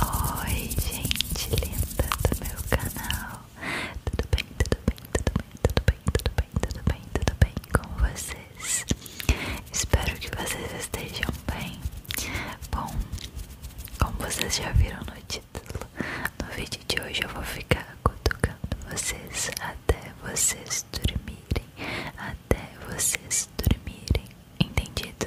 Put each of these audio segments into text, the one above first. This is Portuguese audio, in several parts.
Oi, gente linda do meu canal. Tudo bem, tudo bem, tudo bem, tudo bem, tudo bem, tudo bem, tudo bem com vocês? Espero que vocês estejam bem. Bom, como vocês já viram no título, no vídeo de hoje eu vou ficar cutucando vocês até vocês dormirem, até vocês dormirem. Entendido?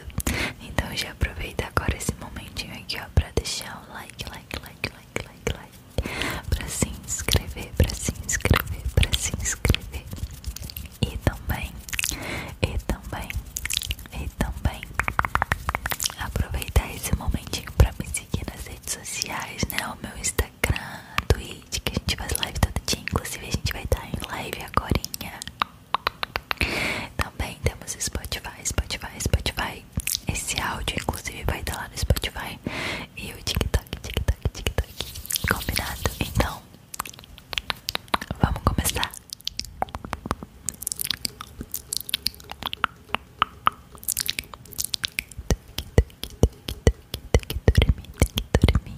Então já aproveita agora esse momentinho aqui, ó, pra deixar o like, like, like, like, like, like, pra se inscrever, pra se inscrever, pra se inscrever. E também, e também, e também aproveitar esse momentinho pra me seguir nas redes sociais, né? O meu Instagram, Twitch, que a gente faz live todo dia. Inclusive a gente vai estar tá em live agorinha. Também temos Spotify, Spotify, Spotify. Esse áudio, inclusive, vai estar lá no Spotify. E o TikTok, TikTok, TikTok. Combinado? Então, vamos começar. Tem que dormir, tem que dormir.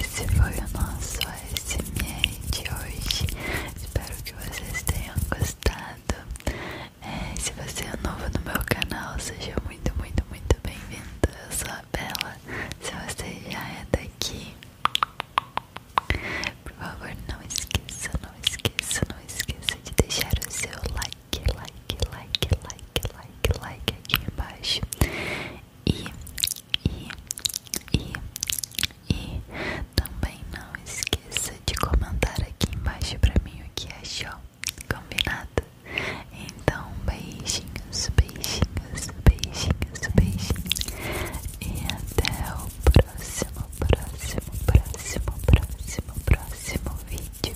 Esse foi o nosso ASMR de hoje. Espero que vocês tenham gostado. É, se você é novo no meu canal, seja muito, muito, muito bem vindo Eu sou a Bela. Se você já é daqui, por favor, não esqueça, não esqueça, não esqueça de deixar o seu like, like, like, like, like, like aqui embaixo. E, e, e, e também não esqueça de comentar aqui embaixo pra mim o que achou Combinado? Então, beijinhos, beijinhos, beijinhos, beijinhos. E até o próximo, próximo, próximo, próximo, próximo vídeo.